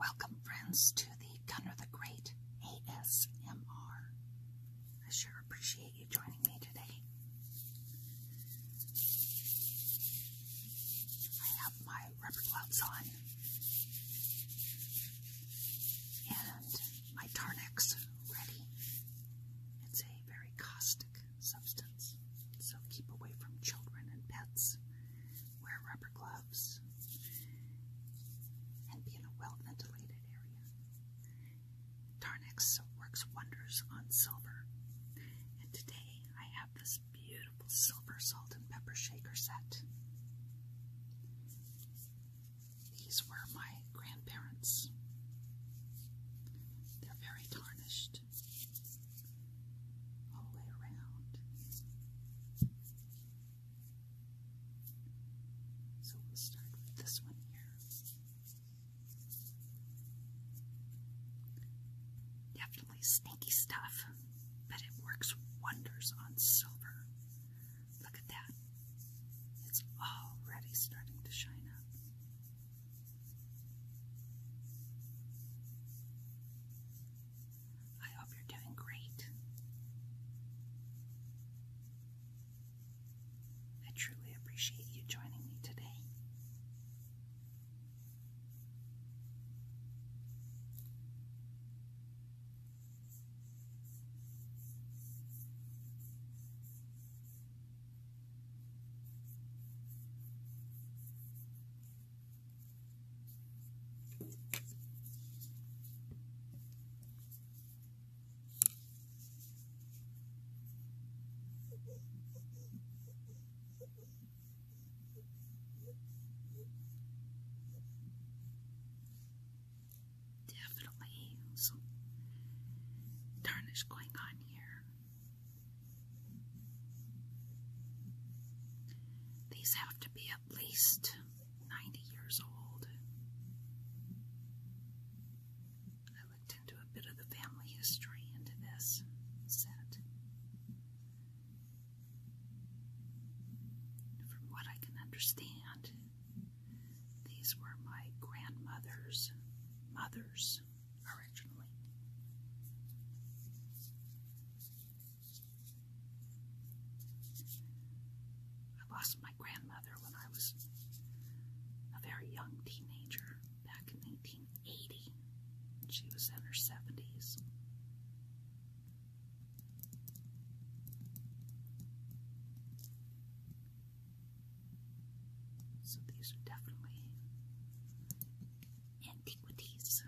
Welcome, friends, to the Gunner the Great ASMR. I sure appreciate you joining me today. I have my rubber gloves on and my Tarnex ready. It's a very caustic substance, so keep away from children and pets wear rubber gloves, and be in a well ventilated area. Tarnex works wonders on silver, and today I have this beautiful silver salt and pepper shaker set. These were my grandparents. They're very tarnished all the way around. So we'll start with this one here. Definitely snaky stuff, but it works wonders on silver. Look at that. It's already starting to shine up. I hope you're doing great. I truly appreciate you joining me today. Definitely some tarnish going on here. These have to be at least 90 years old. I looked into a bit of the family history into this set. From what I can understand, these were my grandmother's mother's originally. I lost my grandmother when I was a very young teenager back in 1980. She was in her 70s. So these are definitely antiquities.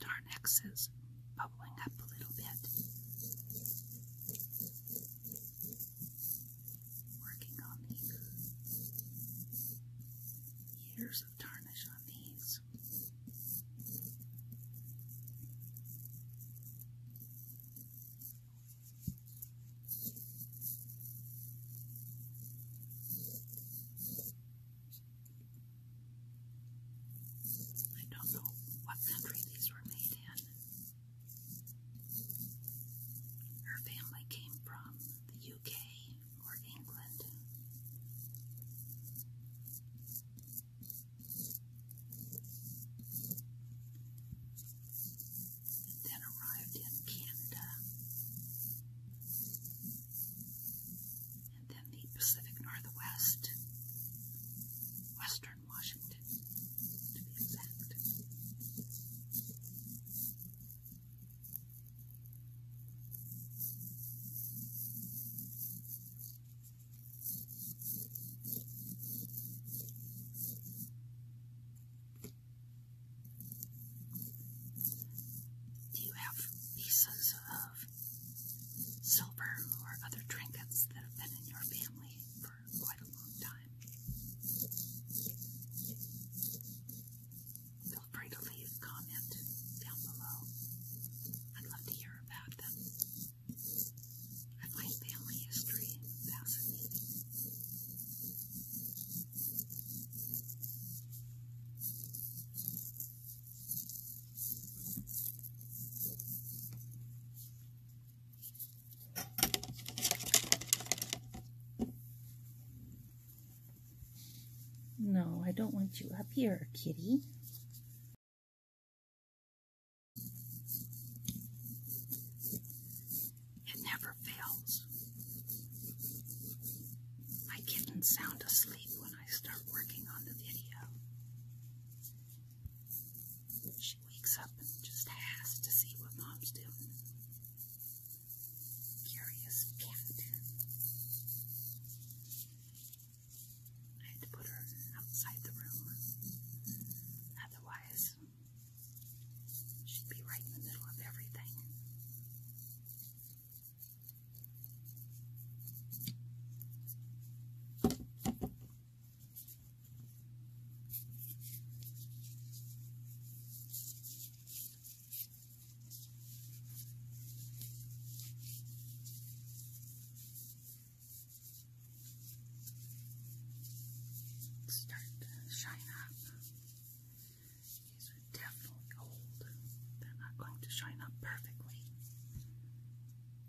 Darnex is bubbling up a little bit. Working on the ear layers on these. I don't know what country these were made in. Her family came from the UK Germany or England. And then arrived in Canada. And then the Pacific Northwest, Western Washington, to be exact. Do you have pieces of silver or other trinkets that have been in your family for quite a long time? feel free to leave a comment down below. I'd love to hear about them. I find family history fascinating. No, I don't want you up here, kitty. It never fails. My kitten's sound asleep when I start working on the video. She wakes up and just has to see what mom's doing. Curious Cat. I had to put her outside the room. Otherwise, she'd be right in the middle of everything start to shine up. These are definitely old. They're not going to shine up perfectly,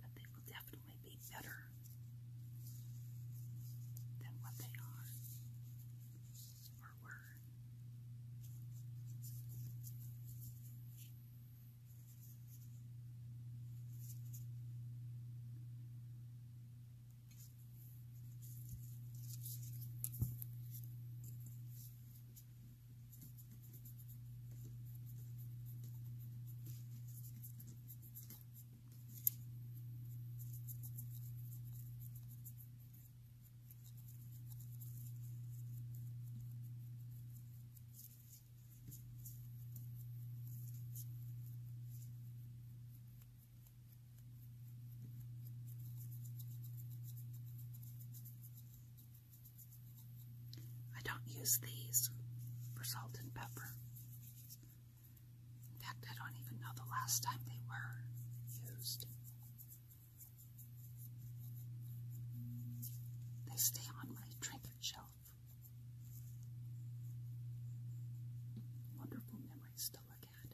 but they will definitely be better than what they are or were. All I don't use these for salt and pepper. In fact, I don't even know the last time they were used. They stay on my drinker shelf. Wonderful memories to look at.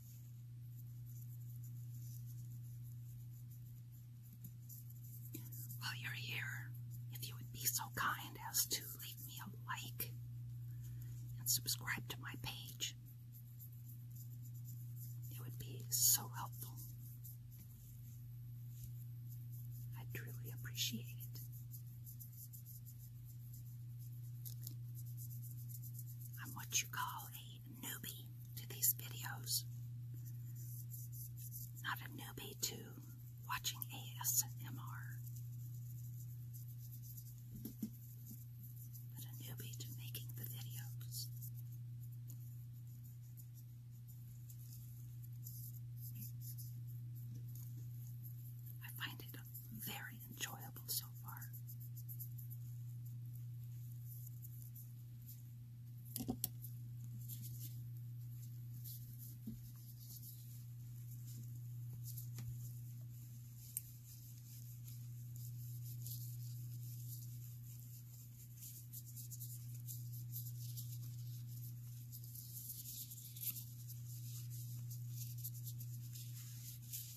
While you're here, if you would be so kind as to leave me a like and subscribe to my page, it would be so helpful. I truly appreciate it. I'm what you call a newbie to these videos, not a newbie to watching ASMR, but a newbie to making the videos. I find it very enjoyable so far.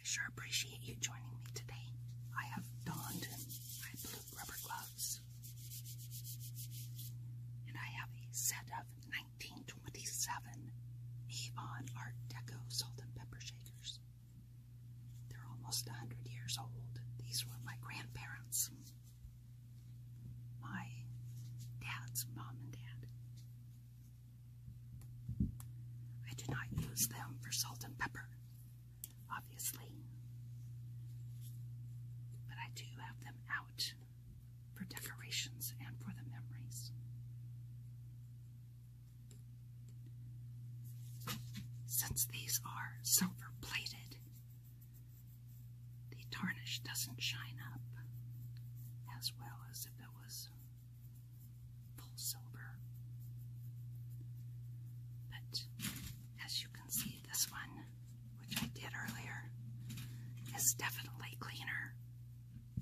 I sure appreciate you joining me today. I have donned my blue rubber gloves, and I have a set of 1927 Avon Art Deco salt and pepper shakers. They're almost a hundred years old. These were my grandparents, my dad's mom and dad. I do not use them for salt and pepper, obviously, but I do have them out for decorations and for the memories. Since these are silver plated, the tarnish doesn't shine up as well as if it was full silver. But as you can see, this one, which I did earlier, is definitely cleaner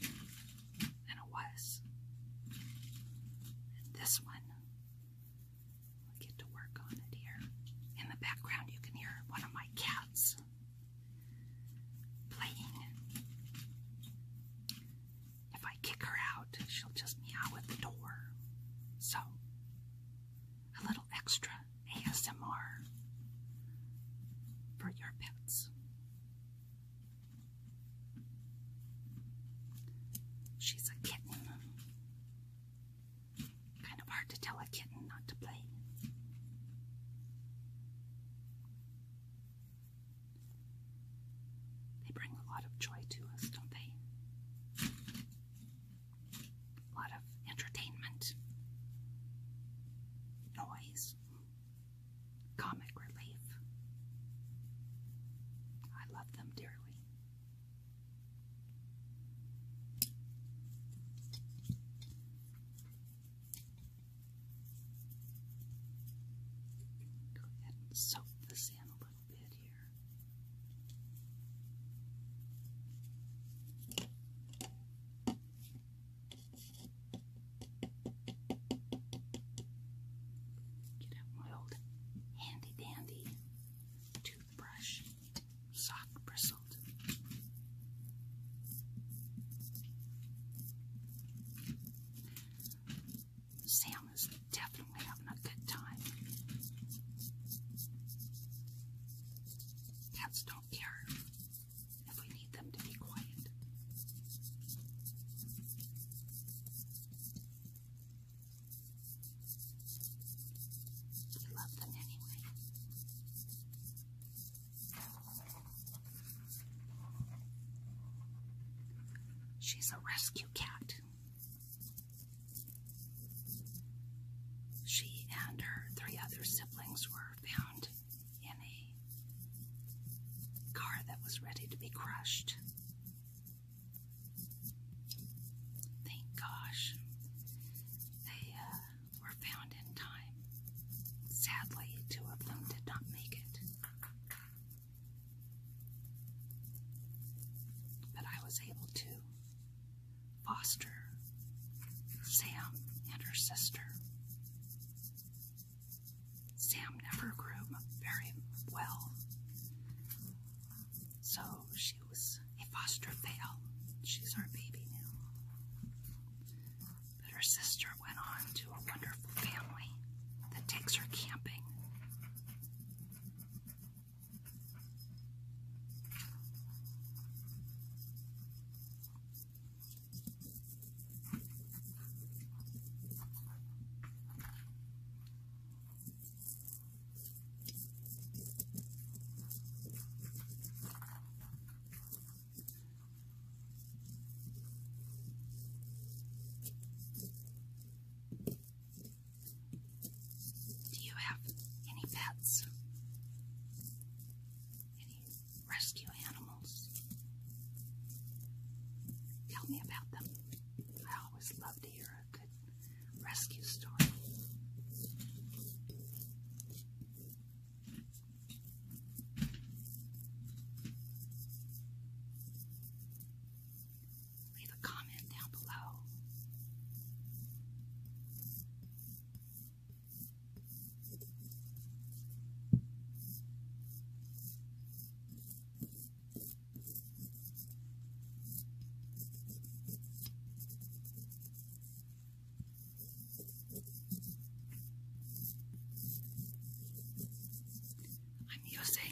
than it was. And this one, we'll get to work on it here. In the background, you can hear one of my cats playing. If I kick her out, she'll just meow at the door. So, a little extra ASMR for your pets. She's a kitten. Kind of hard to tell a kitten not to play. They bring a lot of joy to us, don't they? A lot of entertainment, noise, comic relief. I love them dearly. Go ahead soak this in a little bit here. Get out my old handy dandy toothbrush, soft bristled. Sam is definitely having a good time. Cats don't She's a rescue cat. She and her three other siblings were found in a car that was ready to be crushed. Thank gosh they uh, were found in time. Sadly, two of them did not make it. But I was able to foster Sam and her sister Sam never grew very well, so she was a foster fail. She's our baby now. But her sister went on to a wonderful family that takes her camping. Do you have any pets? Any rescue animals. Tell me about them. I always love to hear a good rescue story. Leave a comment down below. I'm using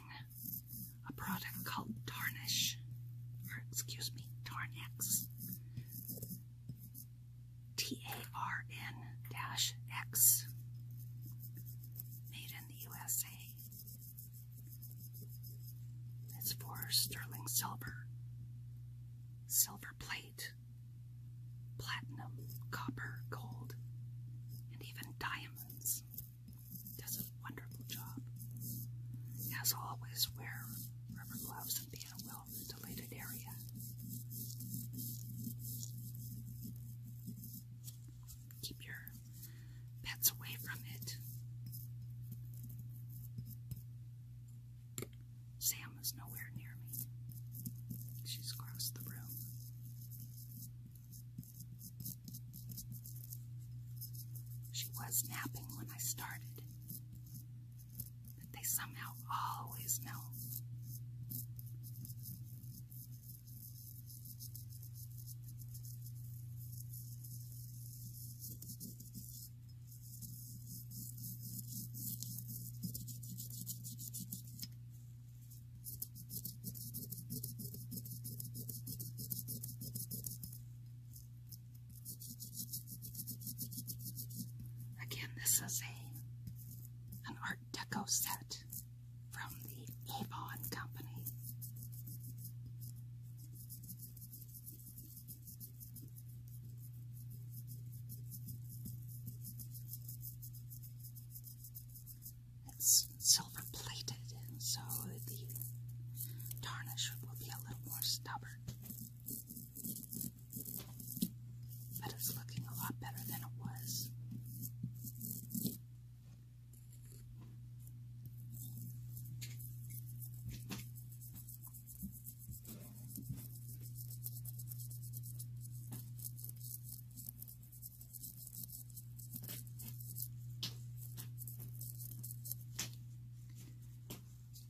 a product called Tarnish, or excuse me, Tarnex. TARN-X. Made in the USA. It's for sterling silver, silver plate, platinum, copper, gold, and even diamonds. Does a wonderful job. As always, wear rubber gloves and be in a well ventilated area. Keep your pets away from it. Sam is nowhere near me. She's across the room. She was napping when I started, but they somehow always know. Again, this is a an Deco set from the Avon Company. It's silver plated, so the tarnish will be a little more stubborn. But it's looking a lot better than it was.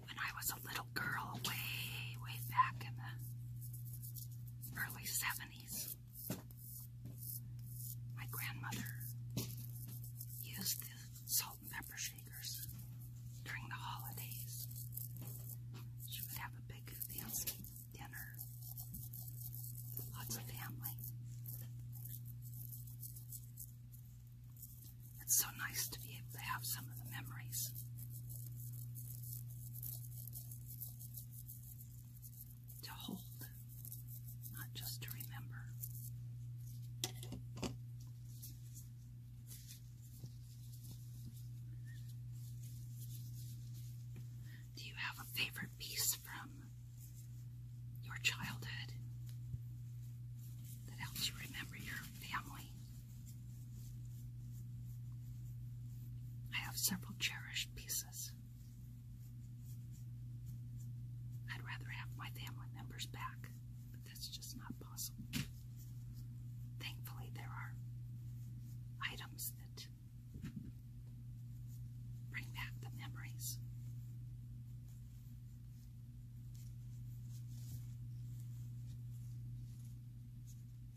When I was a little girl, way, way back in the early 70s. My grandmother used the salt and pepper shakers during the holidays. She would have a big fancy dinner, lots of family. It's so nice to be able to have some of the memories to hold, not just to remember. Do you have a favorite piece from your childhood that helps you remember your family? I have several cherished pieces. I'd rather have my family members back, but that's just not possible. Thankfully, there are items that bring back the memories.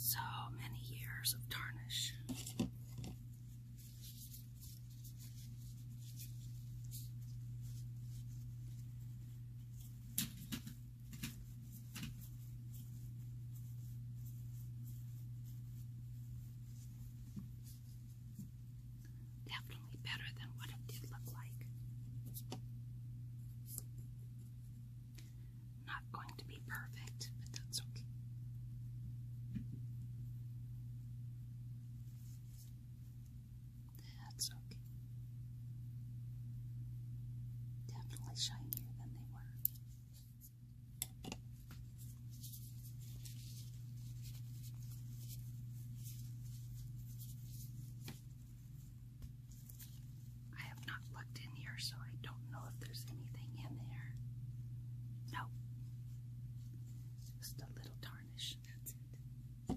So many years of tarnish. Definitely better than what it did look like. Not going to be perfect, but that's okay. That's okay. Definitely shinier than they were. I have not looked in here, so I don't know if there's anything in there. No. Just a little tarnish, that's it.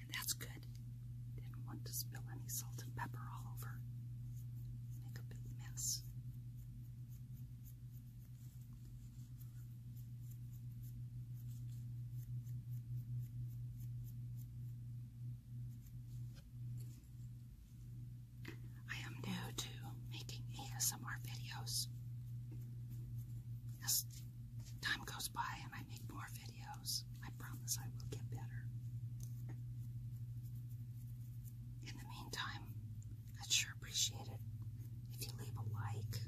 And that's good. Didn't want to spill any salt and pepper all over. Make a big mess. I am new to making ASMR videos. As time goes by and I make more videos, I promise I will get better. In the meantime, I'd sure appreciate it if you leave a like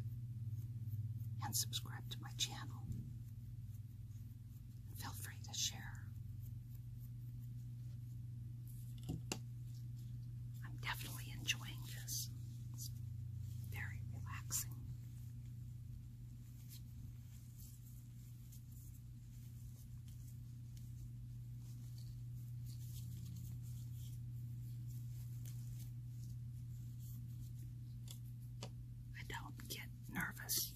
and subscribe to my channel. feel free to share. I'm definitely enjoying this. It's very relaxing. I don't get nervous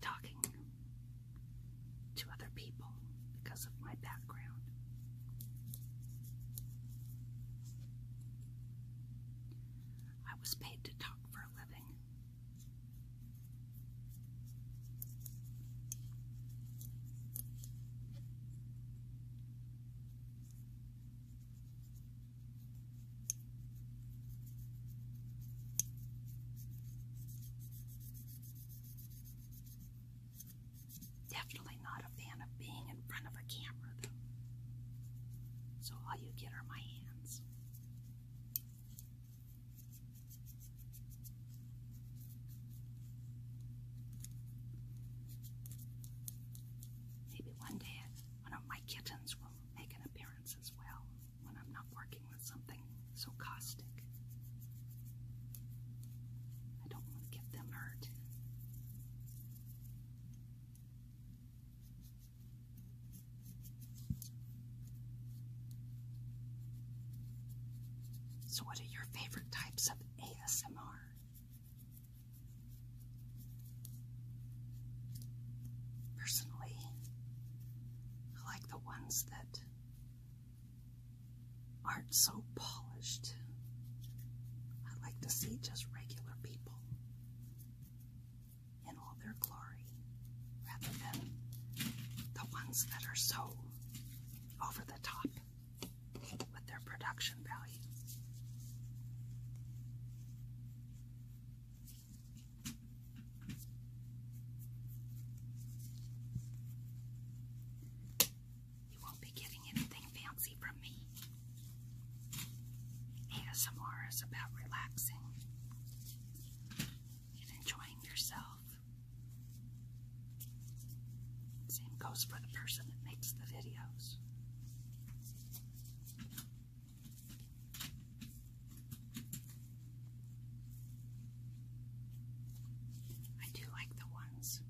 talking to other people because of my background. I was paid to talk for a living. Definitely not a fan of being in front of a camera, though. So all you get are my hands. Maybe one day one of my kittens will make an appearance as well when I'm not working something so caustic. I don't want to get them hurt. So, what are your favorite types of ASMR? Personally, I like the ones that aren't so polished. I like to see just regular people in all their glory rather than the ones that are so over the top with their production value. You won't be getting anything fancy from me. ASMR is about relaxing and enjoying yourself. Same goes for the person that makes the videos. I do like the ones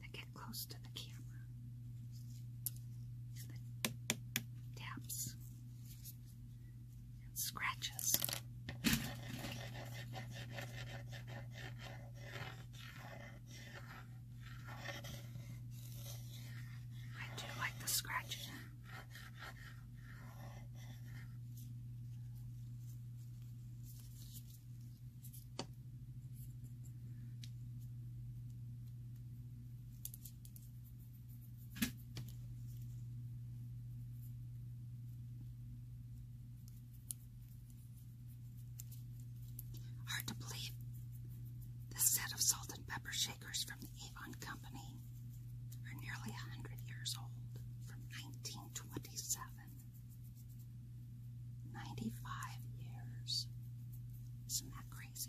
that get close to the camera. The taps and scratches. I do like the scratches. Hard to believe. This set of salt and pepper from the Avon Company are nearly a hundred years old, from 1927. 95 years. Isn't that crazy?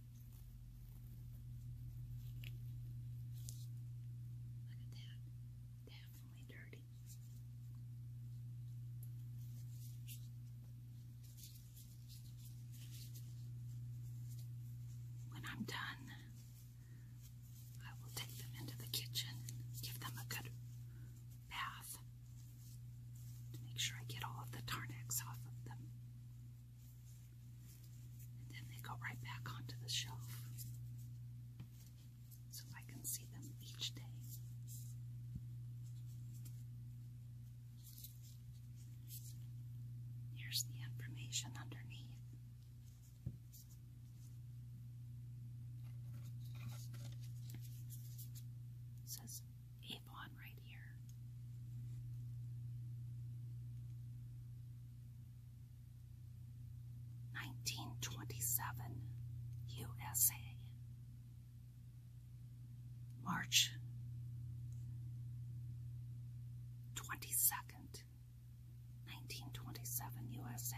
Look at that. Definitely dirty. When I'm done, I will take them into the kitchen, give them a good bath to make sure I get all of the Tarnex off of them. And then they go right back onto the shelf. So I can see them each day. Here's the information underneath. says Nineteen twenty seven USA March twenty second, nineteen twenty seven USA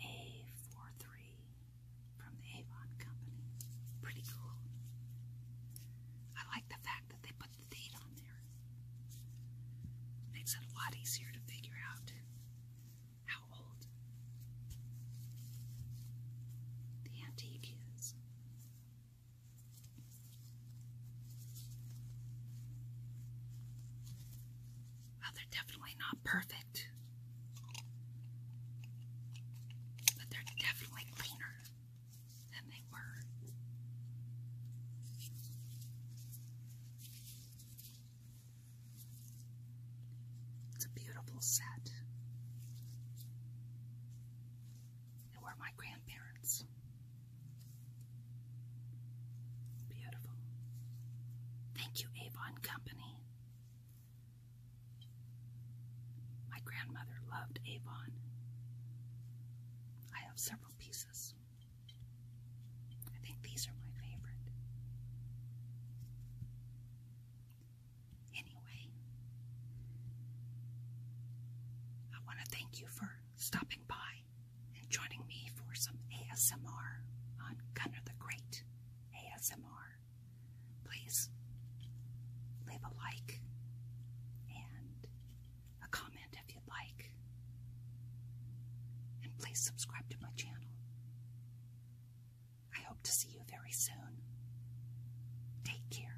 A four from the Avon Company. Pretty cool. I like the fact that they put the date on there. Makes it a lot easier to figure out how old the antique is. Well, they're definitely not perfect, but they're definitely cleaner than they were. It's a beautiful set. They were my grandparents. Beautiful. Thank you, Avon Company, my grandmother loved Avon. I have several pieces. I think these are my favorite. Anyway, I want to thank you for stopping by and joining me for some ASMR on Gunner the Great ASMR please leave a like and a comment if you'd like. And please subscribe to my channel. I hope to see you very soon. Take care.